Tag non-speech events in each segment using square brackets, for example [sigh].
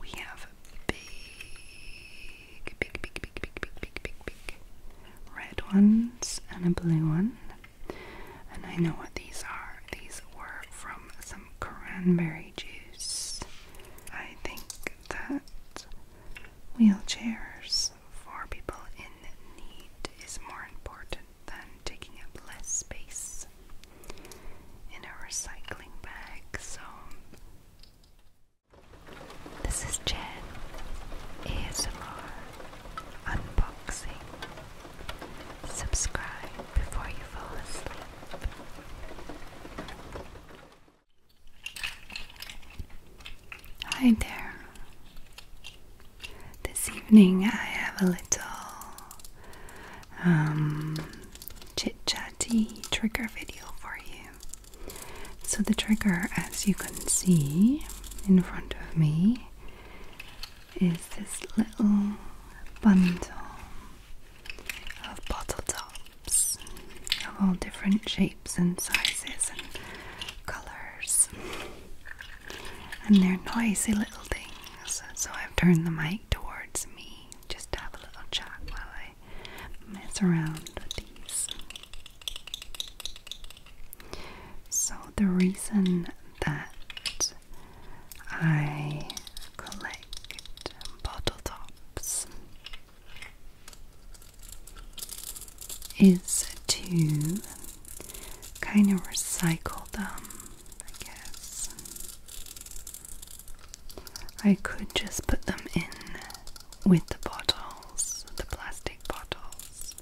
We have big, big, big, big, big, big, big, big, big red ones and a blue one. And I know what these are. These were from some cranberry juice. I think that wheelchairs for people in need is more important than taking up less space in a recycling bag. So, this is Jen ASMR Unboxing. Subscribe before you fall asleep. Hi there. This evening I have a little um, chit chatty trigger video for you. So, the trigger, as you can see in front of me, is this little bundle of bottle tops of all different shapes and sizes and colours. And they're noisy little things, so I've turned the mic towards me just have a little chat while I mess around with these. So, the reason that I collect bottle tops is to kind of recycle them, I guess. I could just put them in with the bottles, the plastic bottles,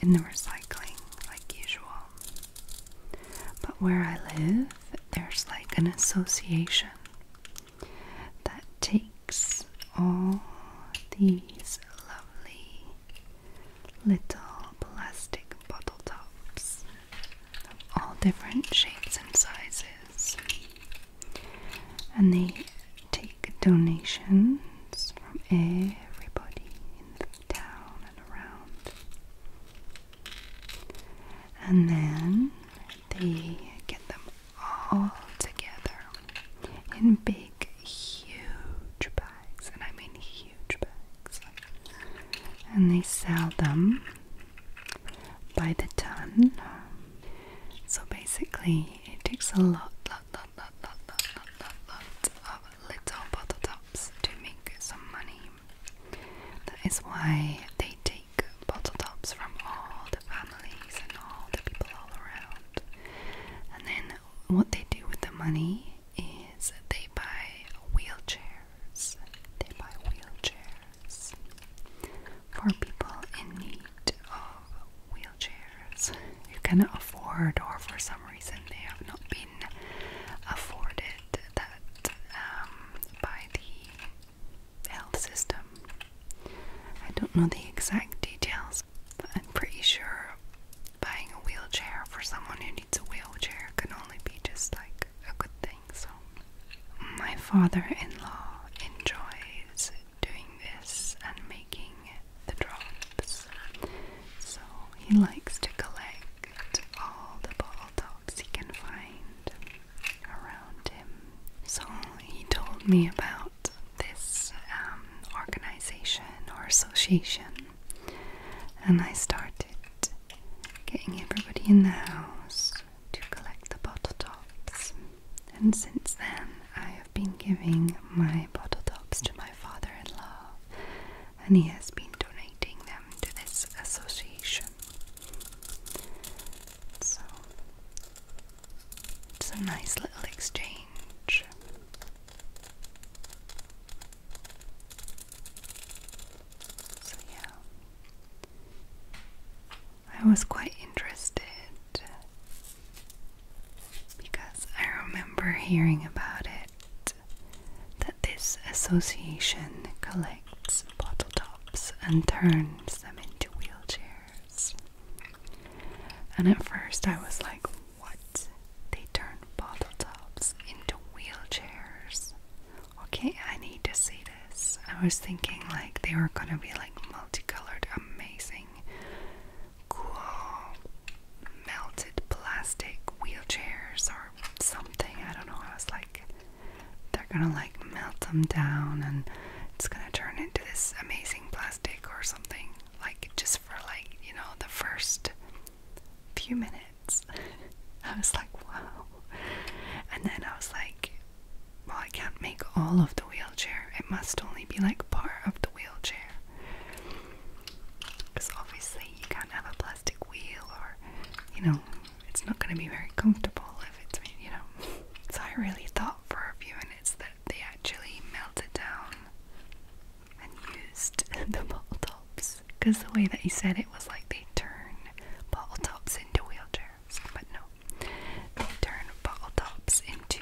in the recycling like usual. But where I live, there's like an association that takes all these lovely little plastic bottle tops all different shapes and sizes. And they take donations from everybody in the town and around. And then they get them all together in big, huge bags. And I mean huge huge bags. And they sell them by the ton. So basically, it takes a lot, lot, lot, lot, lot, lot, lot, lot, of little bottle tops to make some money. That is why they take bottle tops from all the families and all the people all around. And then what they do with the money is they buy wheelchairs. They buy wheelchairs for people in need of wheelchairs you cannot afford, or for some reason they have not been afforded that um, by the health system. I don't know the exact details, but I'm pretty sure buying a wheelchair for someone who needs a wheelchair can only be just like a good thing. So, my father-in-law enjoys doing this and making the drops. So he likes to collect all the bottle tops he can find around him. So he told me about this um, organization or association and I started getting everybody in the house to collect the bottle tops. And since then, I have been giving my bottle tops to my father in law, and he has been donating them to this association. So, it's a nice little exchange. So, yeah, I was quite interested because I remember hearing about it that this association collects bottle tops and turns them into wheelchairs. And at first I was like, what? They turn bottle tops into wheelchairs. Okay, I need to see this. I was thinking like they were gonna be like multicolored, amazing, cool, melted plastic wheelchairs or something. I don't know. I was like, they're gonna like melt them down and it's gonna turn into this amazing plastic or something. Like, just for like, you know, the first few minutes. [laughs] I was like, wow. And then I was like, well, I can't make all of the wheelchair. It must only be like part of the wheelchair. Because obviously, you can't have a plastic wheel, or, you know, it's not going to be very comfortable if it's, you know. [laughs] So I really thought for a few minutes that they actually melted down and used [laughs] the bottle tops wheelchairs because the way that he said it was like they turn bottle tops into wheelchairs, but no, they turn bottle tops into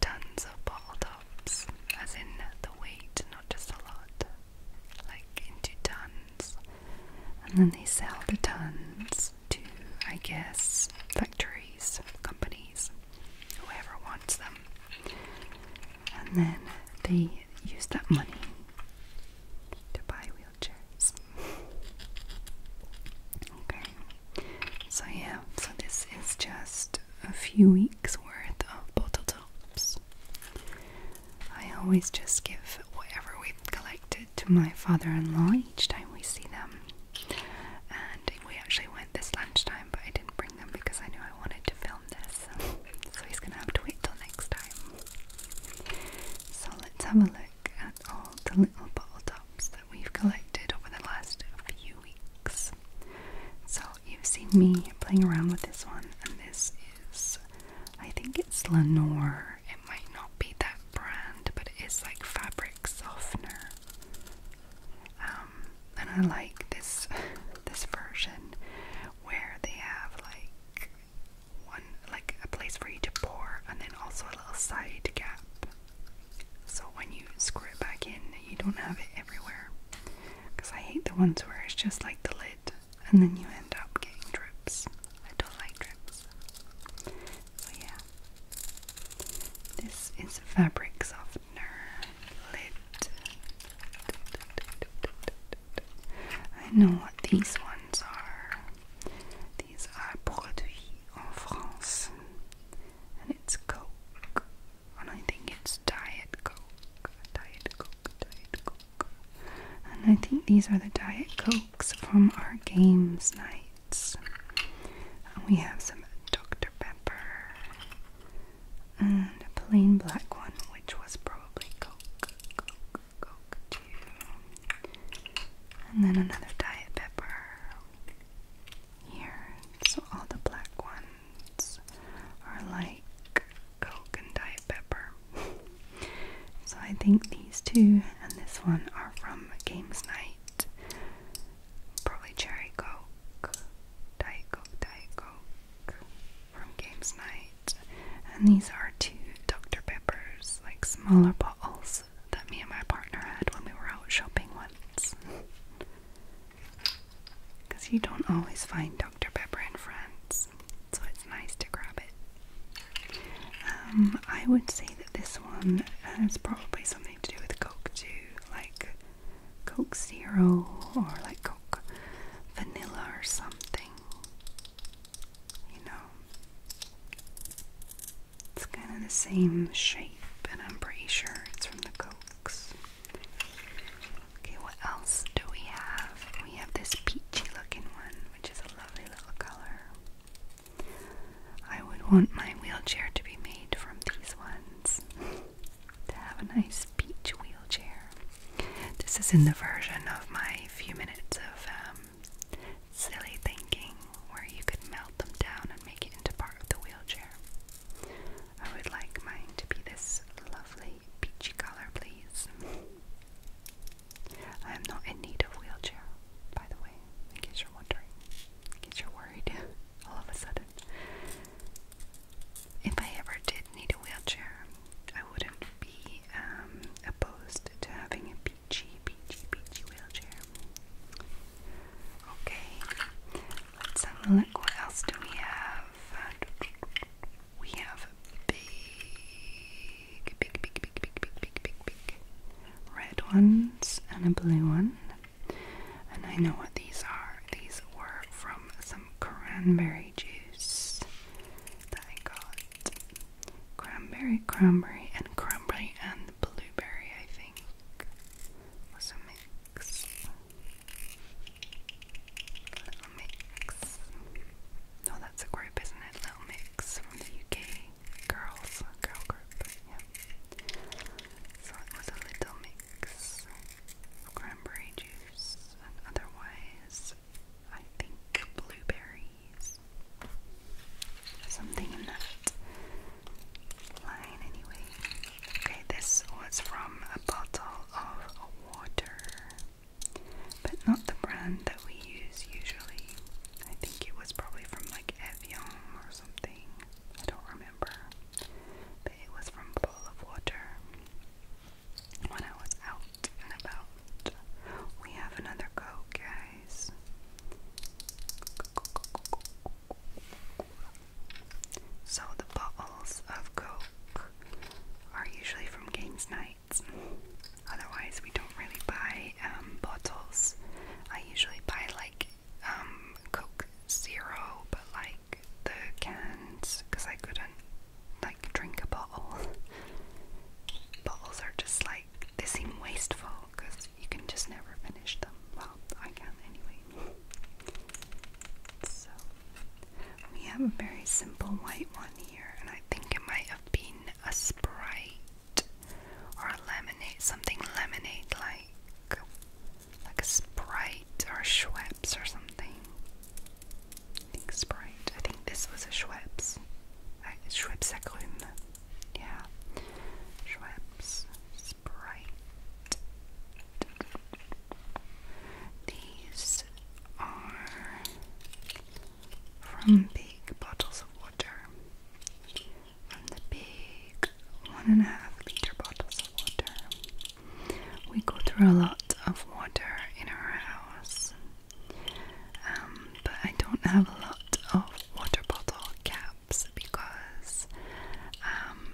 tons of bottle tops, as in the weight, not just a lot, like into tons, and then they sell the tons to, I guess, factories, companies, whoever wants them and then they use that money to buy wheelchairs. okay, so yeah, so this is just a few weeks worth of bottle tops. I always just give whatever we've collected to my father in law each time we see them. And we actually went this lunchtime, but I didn't bring them because I knew I wanted to film this so he's gonna have to wait till next time. So let's have a look at all the little bottle tops that we've collected over the last few weeks. So you've seen me playing around with this one, and this is, I think it's Lenore. It might not be that brand, but it is like fabric softener. Um, and I like this this version where they have like one like a place for you to pour and then also a little side gap. So when you screw it back in, you don't have it everywhere. Cuz I hate the ones where it's just like the lid and then you end up getting drips. I don't like drips. So yeah. This is fabric softener lid. I know what these ones are. These are produits en France. And it's Coke. And I think it's Diet Coke. Diet Coke, Diet Coke. And I think these are the Diet Cokes from our games nights. we have some Dr. Pepper and a plain black one, which was probably Coke, And then another diet pepper here. So all the black ones are like Coke and diet pepper. [laughs] so I think these two and this one are from Games Night. Probably Cherry Coke, Diet Coke, Diet Coke from Games Night, and these are two Dr. Peppers, like smaller bottles that me and my partner had when we were out shopping once. Because [laughs] you don't always find Dr. Pepper in France, so it's nice to grab it. Um, I would say that this one has probably something to do with Coke too, like Coke Zero or like Coke Vanilla or something. You know, it's kind of the same shape, but I'm pretty sure it's from the Cokes. Okay, what else do we have? We have this peachy looking one, which is a lovely little color. I would want my wheelchair to be made from these ones. [laughs] to have a nice beach wheelchair. This is in the version of my few minutes of um, silly thinking where you could melt them down and make it into part of the wheelchair. I would like mine to be this lovely peachy color, please. I am not in need of wheelchair, by the way, in case you're wondering, in case you're worried [laughs] all of a sudden if I ever did need a wheelchair, I wouldn't be um, opposed to having a peachy, peachy, peachy wheelchair. Okay, let's have a look. What else do we have? We have big, big, big, big, big, big, big, big, big red ones and a blue one. And I know what these are. These were from some cranberry juice I got. Cranberry, cranberry, and cranberry and blueberry, I think, was mix. Little mix. No, oh, that's a group, isn't it? Little mix from the UK. Girls, girl group. So it was a little mix cranberry juice otherwise, I think blueberries. Something in that line, anyway. Okay, this was from a bottle of water, but not the brand that we use usually. I think it was probably from like Evian or something. I don't remember but it was from a of water. When I was out and about, we have another coat, guys. So the bottles of Coke are usually from games Night. Otherwise, we don't really buy um, bottles. I usually buy like um, Coke Zero, but like the cans because I couldn't like drink a bottle. [laughs] Bottles are just like they seem wasteful because you can just never finish them. Well, I can anyway. So we have a very simple white one here, and I think it might have been a Sprite or a lemonade, something lemonade like like a Sprite or a Schweppes or something. I think Sprite. I think this was a Schweppes. Uh, Schweppes Agrume. Yeah. Schweppes. Sprite. These are from big bottles of water. From the big one and a half liter bottles of water. We go through a lot of water in our house, um, but I don't have a lot of water bottle caps because um,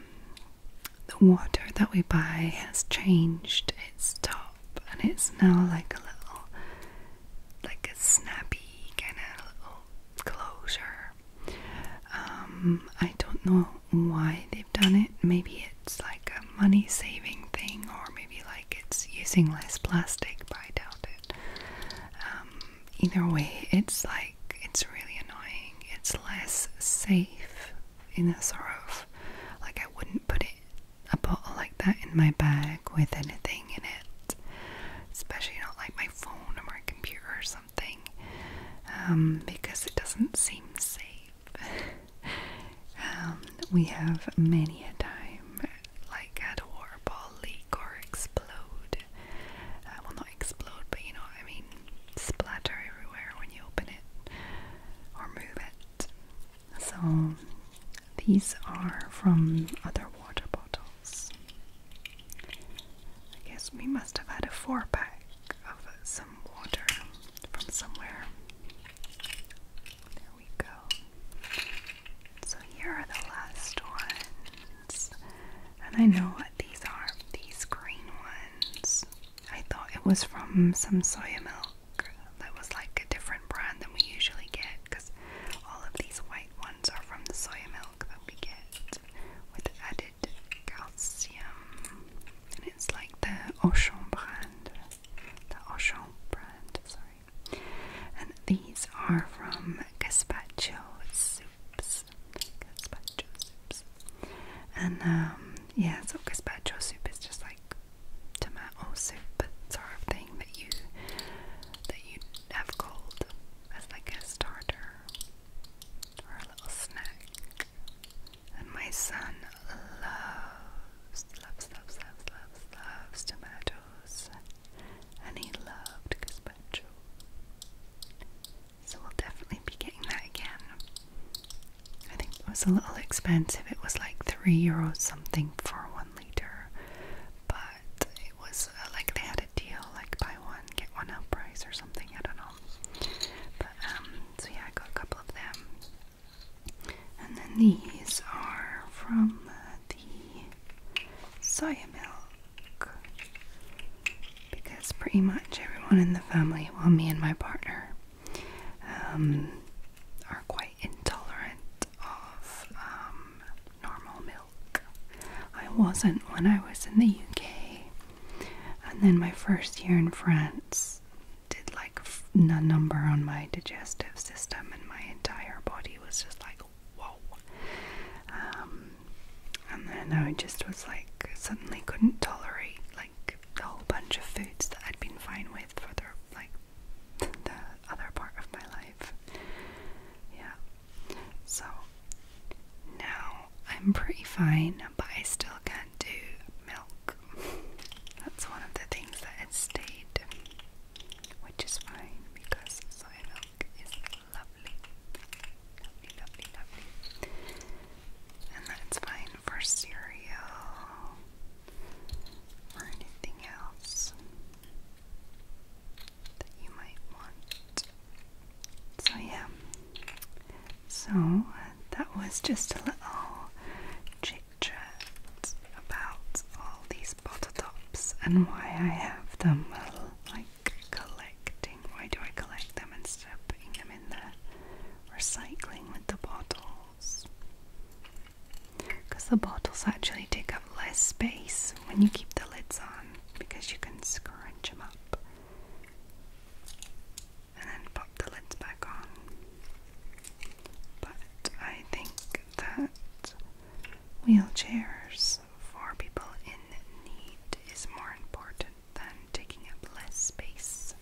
the water that we buy has changed its top and it's now like a little, like a snappy kind of little closure. Um, I don't know why they've done it. Maybe it's like a money saving thing, or maybe like it's using less plastic, but I doubt it. Um, either way, it's like it's really annoying. It's less safe in a sort of like I wouldn't put it a bottle like that in my bag with anything in it, especially not like my phone or my computer or something something um, because it doesn't seem safe. [laughs] Um, we have many a time like had a water ball leak or explode. Uh, well, not explode, but you know I mean, splatter everywhere when you open it or move it. So these are from other water bottles. I guess we must have had a four pack of some water from somewhere. There we go. So here are the last ones. And I know what these are these green ones. I thought it was from some soya milk that was like a different brand than we usually get because all of these white ones are from the soya milk that we get with added calcium, and it's like the Auchan brand, the Auchan brand, sorry. And these are from Caspacho soups, Gazpacho soups, and um, yeah, so Gazpacho soup is just like tomato soup sort of thing that you that you have cold as like a starter or a little snack. And my son loves, loves, loves, loves, loves, loves tomatoes. And he loved gazpacho. So we'll definitely be getting that again. I think it was a little expensive. It was like three euros something for one liter, but it was uh, like they had a deal, like buy one get one up price or something. I don't know. But um, so yeah, I got a couple of them. And then these are from uh, the soya milk. Because pretty much everyone in the family, well, me and my partner, um, are quite intolerant of um, normal milk. I wasn't when I was in the UK, and then my first year in France did like a number on my digestive system, and my entire body was just like, whoa. Um, and then I just was like, suddenly couldn't tolerate like a whole bunch of foods that I'd been fine with for the like the other part of my life. Yeah. So now, I'm pretty fine, but I still can't do milk. That's one of the things that has stayed, which is fine because soy milk is lovely. Lovely, lovely, lovely. And that's fine for cereal or anything else that you might want. So, yeah, so that was just a little chit chat about all these bottle tops and why I have them. Well, like collecting, why do I collect them instead of putting them in the recycling with the bottles? Because the bottles actually take up less space when you keep the lids on because you can scrunch them up and then pop the lids back on. But I think that wheelchairs for people in need is more important than taking up less space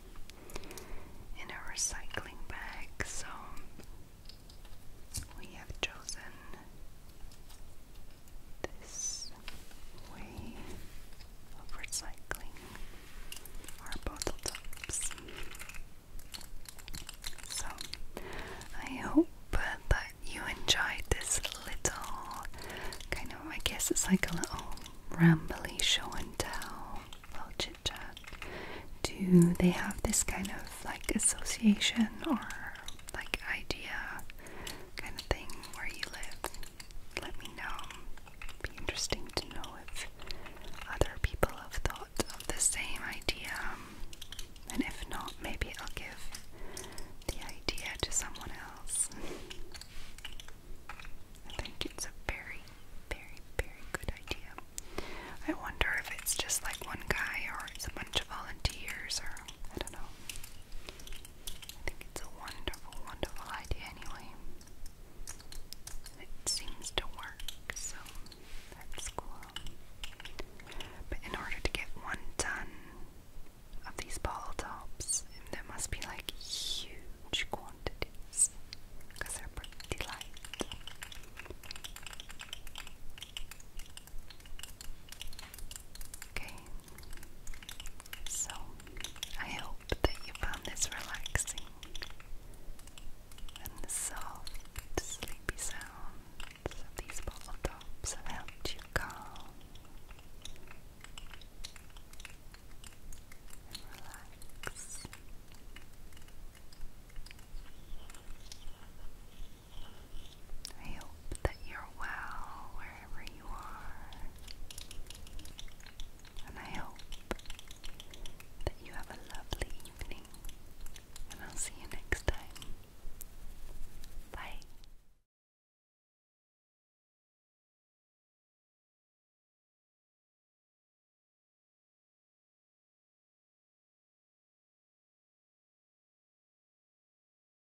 in a recycling bag, so we have chosen this way of recycling our bottle tops. So, I hope that you enjoyed this little kind of, I guess it's like a little rambly show and tell, little chit chat. Do they have this kind of like association or like idea kind of thing where you live? let me know. It'd be interesting to know if other people have thought of the same idea. And if not, maybe I'll give the idea to someone else. I think it's a very, very, very good idea. I wonder if it's just like one guy or it's a bunch of volunteers or I don't know. I think it's a wonderful, wonderful idea anyway. It seems to work, so that's cool. But in order to get one ton of these bottle tops, there must be like huge quantities because they're pretty light. Okay, so, I hope that you found this relaxing and soft, sleepy sounds these bottle tops have helped you calm and relax. I hope that you're well wherever you are. And I hope that you have a lovely evening. And I'll see you next time. Bye.